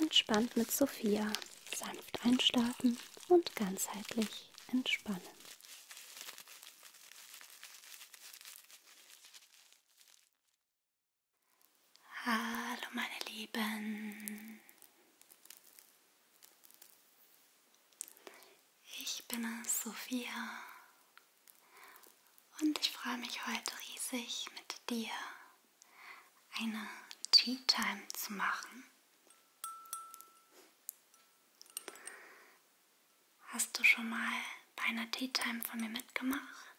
Entspannt mit Sophia. Sanft einschlafen und ganzheitlich entspannen. Hallo meine Lieben. Ich bin es, Sophia. Und ich freue mich heute riesig mit dir eine Tea Time zu machen? Hast du schon mal bei einer Tea Time von mir mitgemacht?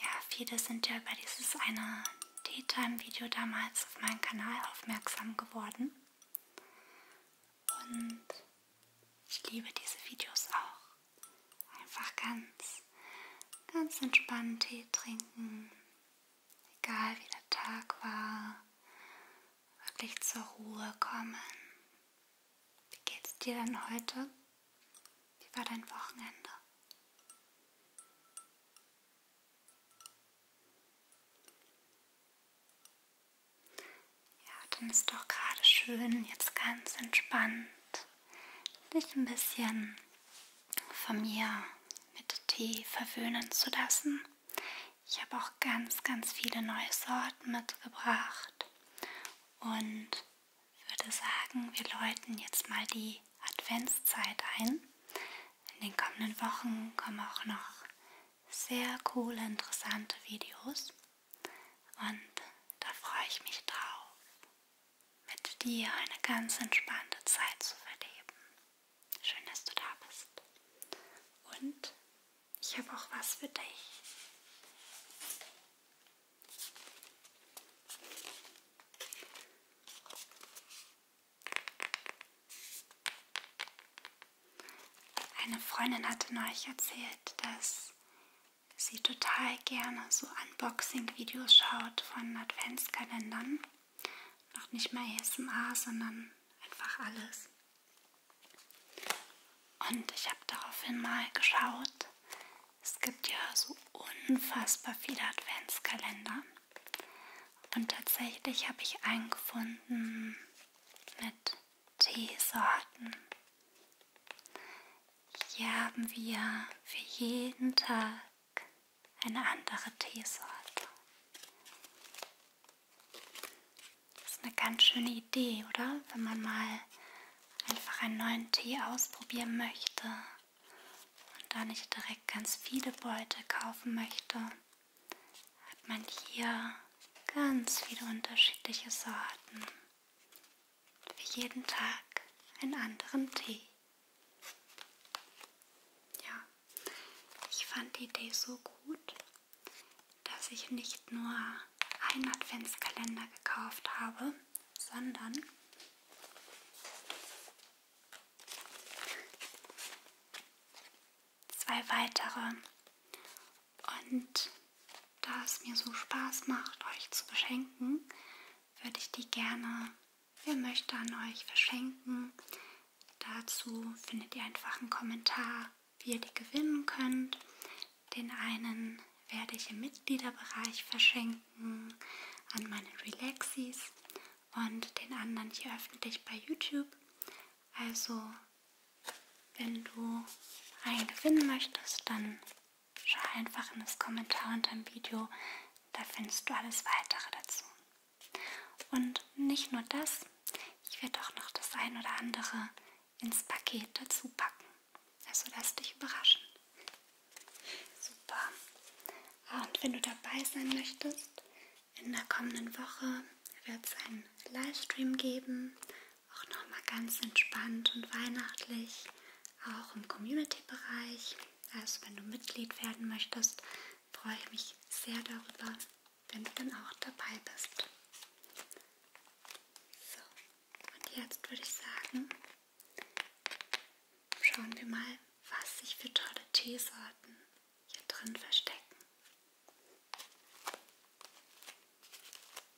Ja, viele sind ja über dieses eine Tea Time Video damals auf meinen Kanal aufmerksam geworden. Und ich liebe diese Videos auch. Einfach ganz, ganz entspannt Tee trinken. Egal wie der Tag war. Wirklich zur Ruhe kommen. Wie geht's dir denn heute? Wie war dein Wochenende? Ja, dann ist doch gerade schön, jetzt ganz entspannt dich ein bisschen von mir mit Tee verwöhnen zu lassen. Ich habe auch ganz, ganz viele neue Sorten mitgebracht und würde sagen, wir läuten jetzt mal die Adventszeit ein. In den kommenden Wochen kommen auch noch sehr coole, interessante Videos. Und da freue ich mich drauf, mit dir eine ganz entspannte Zeit zu verleben. Schön, dass du da bist. Und ich habe auch was für dich. Eine Freundin hatte neulich erzählt, dass dass sie total gerne so Unboxing-Videos schaut von Adventskalendern. Noch nicht mal ASMR, sondern einfach alles. Und ich habe daraufhin mal geschaut. Es gibt ja so unfassbar viele Adventskalender. Und tatsächlich habe ich einen gefunden mit Teesorten. Hier haben wir für jeden Tag eine andere Teesorte. Das ist eine ganz schöne Idee, oder? Wenn man mal einfach einen neuen Tee ausprobieren möchte und da nicht direkt ganz viele Beute kaufen möchte, hat man hier ganz viele unterschiedliche Sorten für jeden Tag einen anderen Tee. Ja, ich fand die Idee so gut, dass ich nicht nur einen Adventskalender gekauft habe, sondern zwei weitere. Und da es mir so Spaß macht, euch zu beschenken, würde ich die gerne, wer möchte, an euch verschenken. Dazu findet ihr einfach einen Kommentar, wie ihr die gewinnen könnt. Den einen werde ich im Mitgliederbereich verschenken an meine Relaxis und den anderen hier öffentlich bei YouTube. Also, wenn du einen gewinnen möchtest, dann schau einfach in das Kommentar unter dem Video, da findest du alles weitere dazu. Und nicht nur das, ich werde auch noch das ein oder andere ins Paket dazu packen. Also lass dich überraschen. Super. Ah, und wenn du dabei sein möchtest, in der kommenden Woche wird es einen Livestream geben, auch nochmal ganz entspannt und weihnachtlich auch im Community-Bereich. Also wenn du Mitglied werden möchtest, freue ich mich sehr darüber, wenn du dann auch dabei bist. So, und jetzt würde ich sagen, schauen wir mal, was sich für tolle Teesorten hier drin verstecken.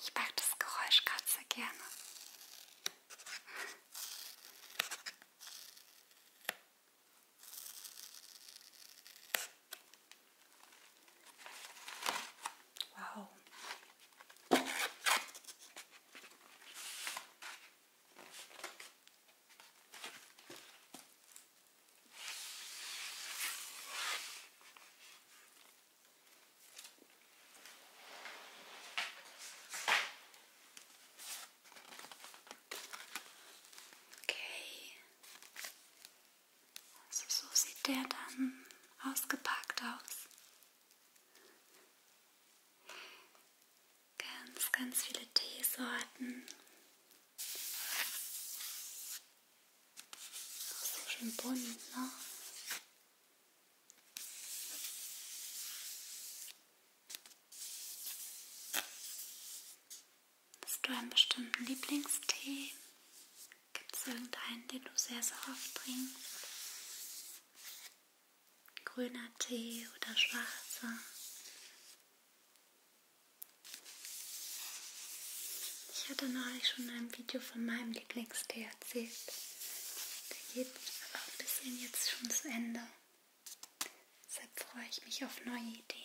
Ich mag das Geräusch gerade sehr gerne. Wow. Okay. Also so sieht der dann ausgepackt aus. Ganz, ganz viele Teesorten. Ist doch schön bunt, ne? Hast du einen bestimmten Lieblingstee? Gibt es irgendeinen, den du sehr, sehr oft trinkst? Grüner Tee oder schwarzer? Ich hatte neulich schon in einem Video von meinem Lieblingstee erzählt. Der geht aber ein bisschen jetzt schon zu Ende. Deshalb freue ich mich auf neue Ideen.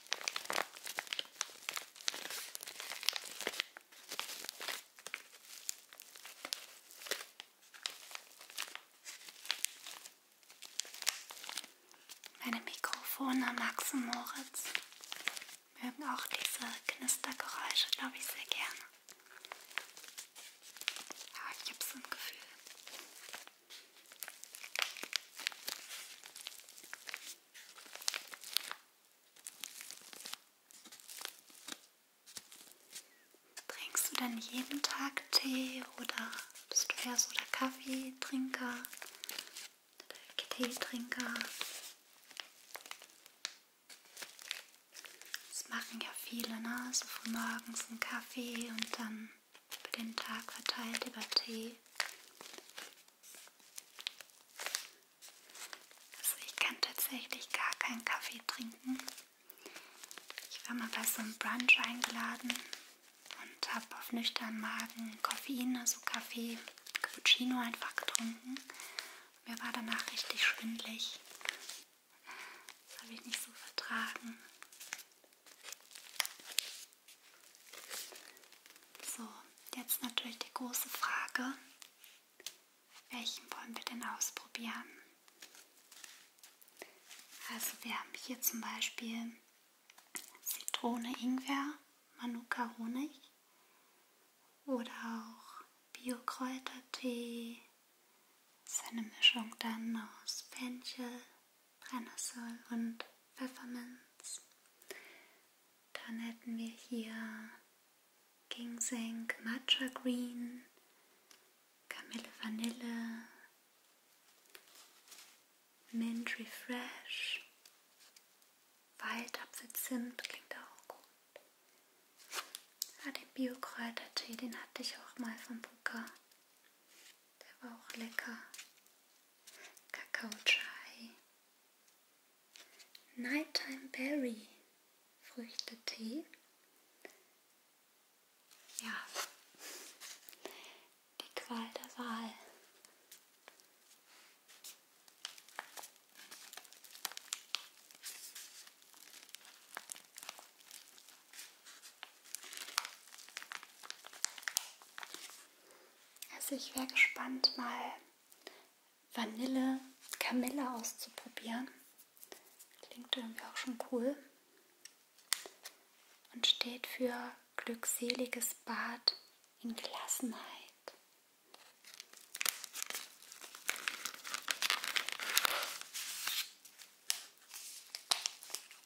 Meine Mikrofone Max und Moritz mögen auch diese Knistergeräusche, glaube ich, sehr gerne. Aber ich habe so ein Gefühl, Trinkst du denn jeden Tag Tee oder bist du eher so der Kaffeetrinker? Der Teetrinker? Das machen ja viele, ne? So von morgens einen Kaffee und dann über den Tag verteilt über Tee. Also ich kann tatsächlich gar keinen Kaffee trinken. Ich war mal bei so einem Brunch eingeladen und habe auf nüchtern Magen Koffein, also Kaffee, Cappuccino einfach getrunken. Mir war danach richtig schwindlig. Das habe ich nicht so vertragen. So, jetzt natürlich die große Frage, welchen wollen wir denn ausprobieren? Also wir haben hier zum Beispiel Zitrone, Ingwer, Manuka Honig oder auch Biokräutertee. Das ist eine Mischung dann aus Fenchel, Brennnessel und Pfefferminz. Dann hätten wir hier Ginseng, Matcha Green, Kamille Vanille, Mint Refresh, Waldapfelzimt klingt auch gut. Ah, den Biokräutertee, den hatte ich auch mal vom Booker. Der war auch lecker. Kakao Chai, Nighttime Berry, Früchtetee. Ja, die Qual der Wahl. Also ich wäre gespannt, mal Vanille Camilla auszuprobieren. Klingt irgendwie auch schon cool. Und steht für glückseliges Bad in Gelassenheit.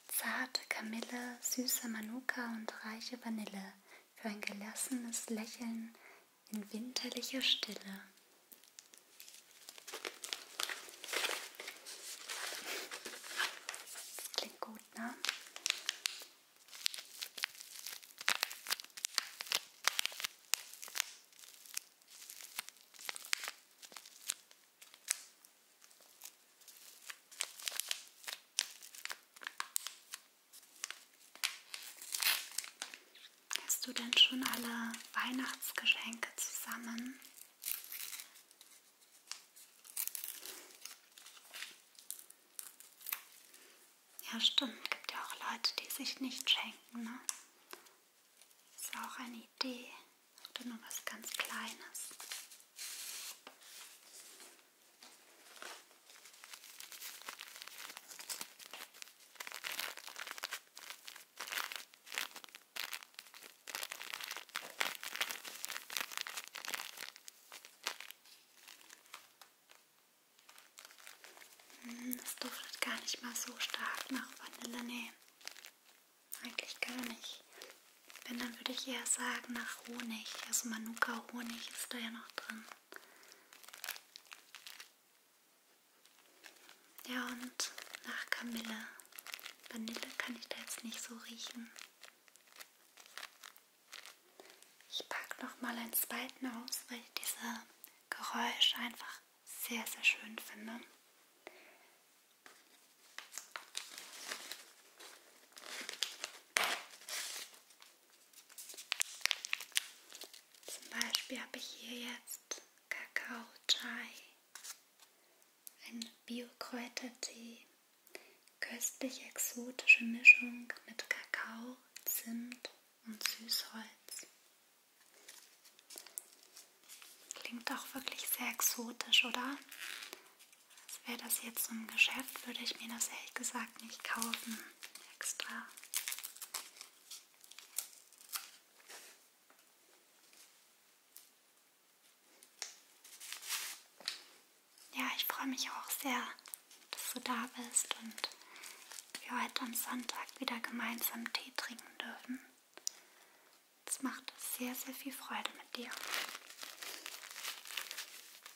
Zarte Kamille, süße Manuka und reiche Vanille für ein gelassenes Lächeln in winterlicher Stille. Das klingt gut, ne? Hast du denn schon alle Weihnachtsgeschenke zusammen? Ja, stimmt. Gibt ja auch Leute, die sich nicht schenken, ne? Ist ja auch eine Idee. Oder nur was ganz Kleines. Hm, das duftet gar nicht mal so stark nach Vanille, nee. Eigentlich gar nicht. Wenn, dann würde ich eher sagen nach Honig. Also Manuka-Honig ist da ja noch drin. Ja, und nach Kamille. Vanille kann ich da jetzt nicht so riechen. Ich packe nochmal einen zweiten aus, weil ich diese Geräusche einfach sehr, sehr schön finde. Zum Beispiel habe ich hier jetzt Kakao Chai, ein Bio-Kräutertee, köstlich exotische Mischung mit Kakao, Zimt und Süßholz. Klingt auch wirklich sehr exotisch, oder? Also wäre das jetzt im Geschäft, würde ich mir das ehrlich gesagt nicht kaufen. Extra. Ja, ich freue mich auch sehr, dass du da bist und wir heute am Sonntag wieder gemeinsam Tee trinken dürfen. Es macht sehr, sehr viel Freude mit dir.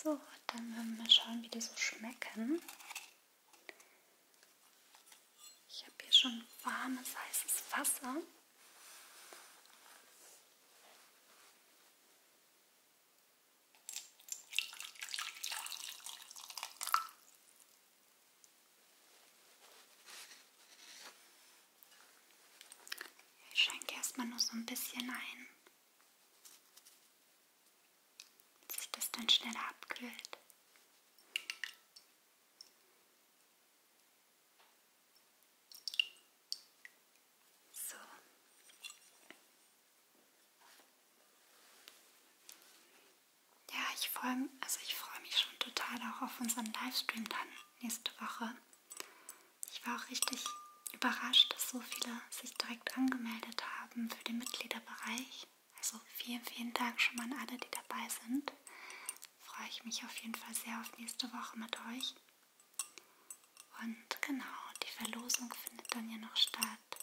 So, dann werden wir mal schauen, wie die so schmecken. Ich habe hier schon warmes, heißes Wasser. Ich schenke erstmal nur so ein bisschen ein, dass sich das dann schneller abkühlt. So. Ja, ich freue also ich freu mich schon total auch auf unseren Livestream dann nächste Woche. Ich war auch richtig überrascht, dass so viele sich direkt angemeldet haben für den Mitgliederbereich. Also vielen, vielen Dank schon mal an alle, die dabei sind. Freue ich mich auf jeden Fall sehr auf nächste Woche mit euch. Und genau, die Verlosung findet dann ja noch statt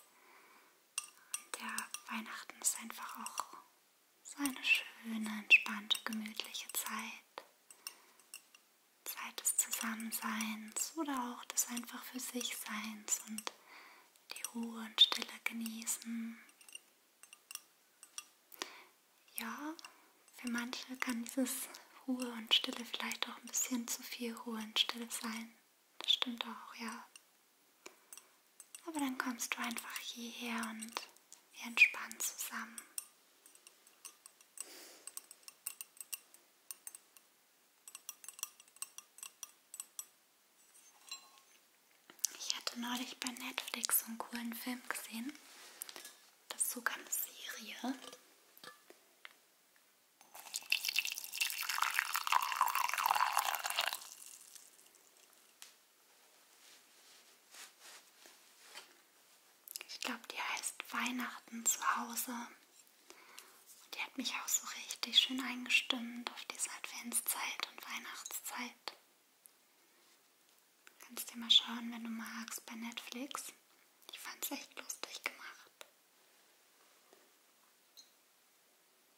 der Weihnachten ist einfach auch so eine schöne, entspannte, gemütliche Zeit. Zeit des Zusammenseins oder auch des einfach für sich Seins und die Ruhe und Stille genießen. Ja, für manche kann dieses Ruhe und Stille vielleicht auch ein bisschen zu viel Ruhe und Stille sein. Das stimmt auch, ja. Aber dann kommst du einfach hierher und wir entspannen zusammen. Ich hatte neulich bei Netflix so einen coolen Film gesehen. Das ist sogar eine Serie. Ich glaube, die heißt Weihnachten zu Hause. Und die hat mich auch so richtig schön eingestimmt auf diese Adventszeit und Weihnachtszeit. Kannst dir mal schauen, wenn du magst, bei Netflix. Ich fand es echt lustig gemacht.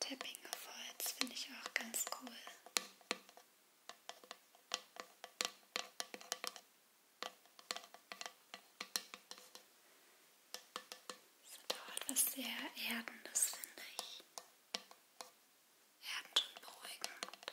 Tapping of Holz finde ich auch ganz cool. Das hat auch etwas sehr Erdendes, finde ich. Erdend und beruhigend.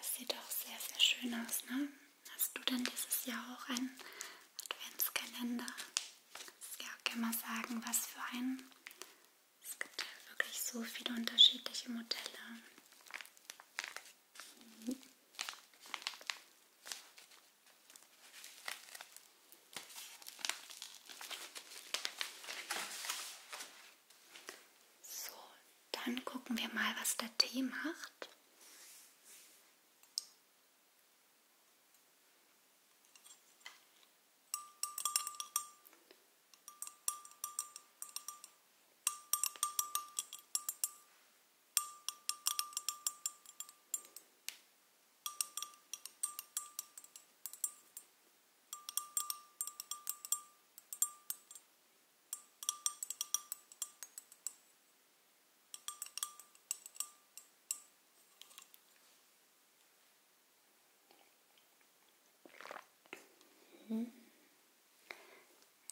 Es sieht auch sehr, sehr schön aus, ne? Hast du denn dieses Jahr auch einen Adventskalender? Das ja auch immer sagen, was für einen. Es gibt ja wirklich so viele unterschiedliche Modelle. So, dann gucken wir mal, was der Tee macht.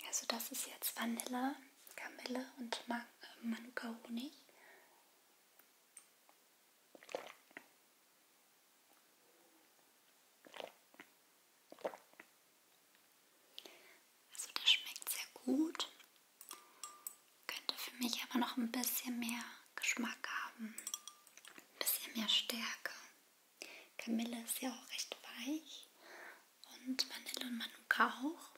Also das ist jetzt Vanilla. Kamille und äh, Manuka Honig. Also das schmeckt sehr gut. Könnte für mich aber noch ein bisschen mehr Geschmack haben. Ein bisschen mehr Stärke. Kamille ist ja auch recht weich und Vanille und Manuka auch.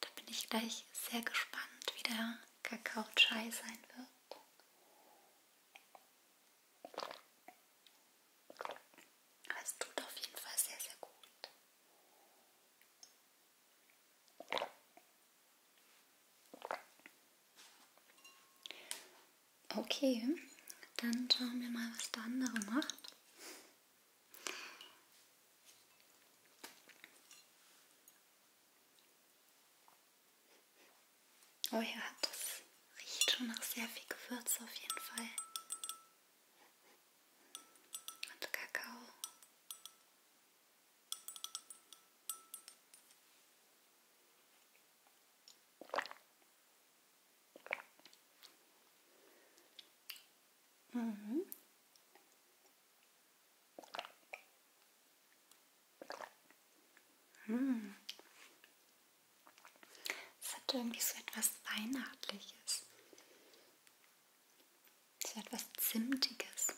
Da bin ich gleich sehr gespannt, wie der Kakao-Chai sein wird. Aber es tut auf jeden Fall sehr, sehr gut. Okay, dann schauen wir mal, was der andere macht. Oh ja, das riecht schon nach sehr viel Gewürz auf jeden Fall. Und Kakao. Mhm. Hm. Es hat irgendwie so etwas Weihnachtliches. So etwas Zimtiges.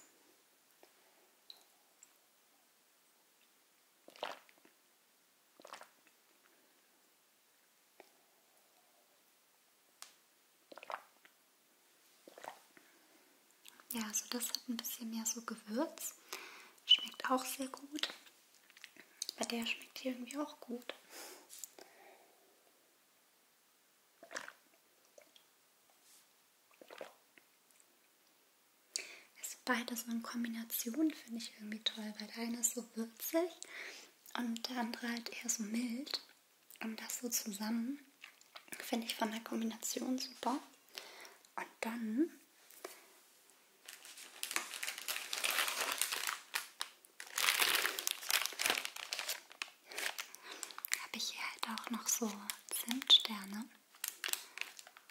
Ja, also das hat ein bisschen mehr so Gewürz. Schmeckt auch sehr gut. Bei der schmeckt hier irgendwie auch gut. Also beide so in Kombination finde ich irgendwie toll, weil der eine ist so würzig und der andere halt eher so mild. Und das so zusammen finde ich von der Kombination super. Und dann habe ich hier halt auch noch so Zimtsterne.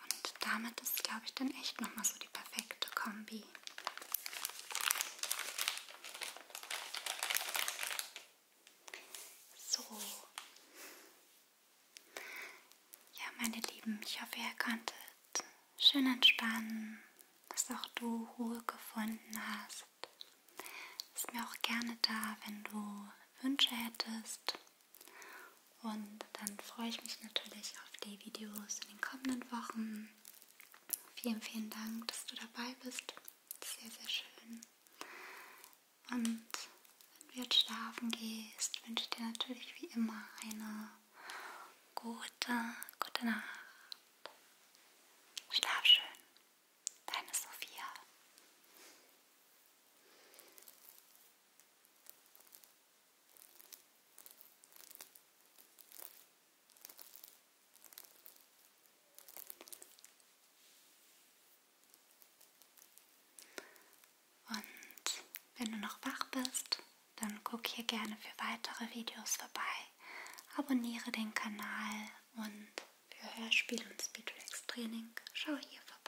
Und damit ist, glaube ich, dann echt nochmal so die perfekte Kombi. So. Ja, meine Lieben, ich hoffe, ihr konntet schön entspannen, dass auch du Ruhe gefunden hast. Ist mir auch gerne da, wenn du Wünsche hättest. Und dann freue ich mich natürlich auf die Videos in den kommenden Wochen. Vielen, vielen Dank, dass du dabei bist. Sehr, sehr schön. Und wenn du jetzt schlafen gehst, wünsche ich dir natürlich wie immer eine gute, gute Nacht. Schlaf schön. Deine Sophia. Und wenn du noch wach bist, dann guck hier gerne für weitere Videos vorbei. Abonniere den Kanal und für Hörspiel und Speedrex Training schau hier vorbei.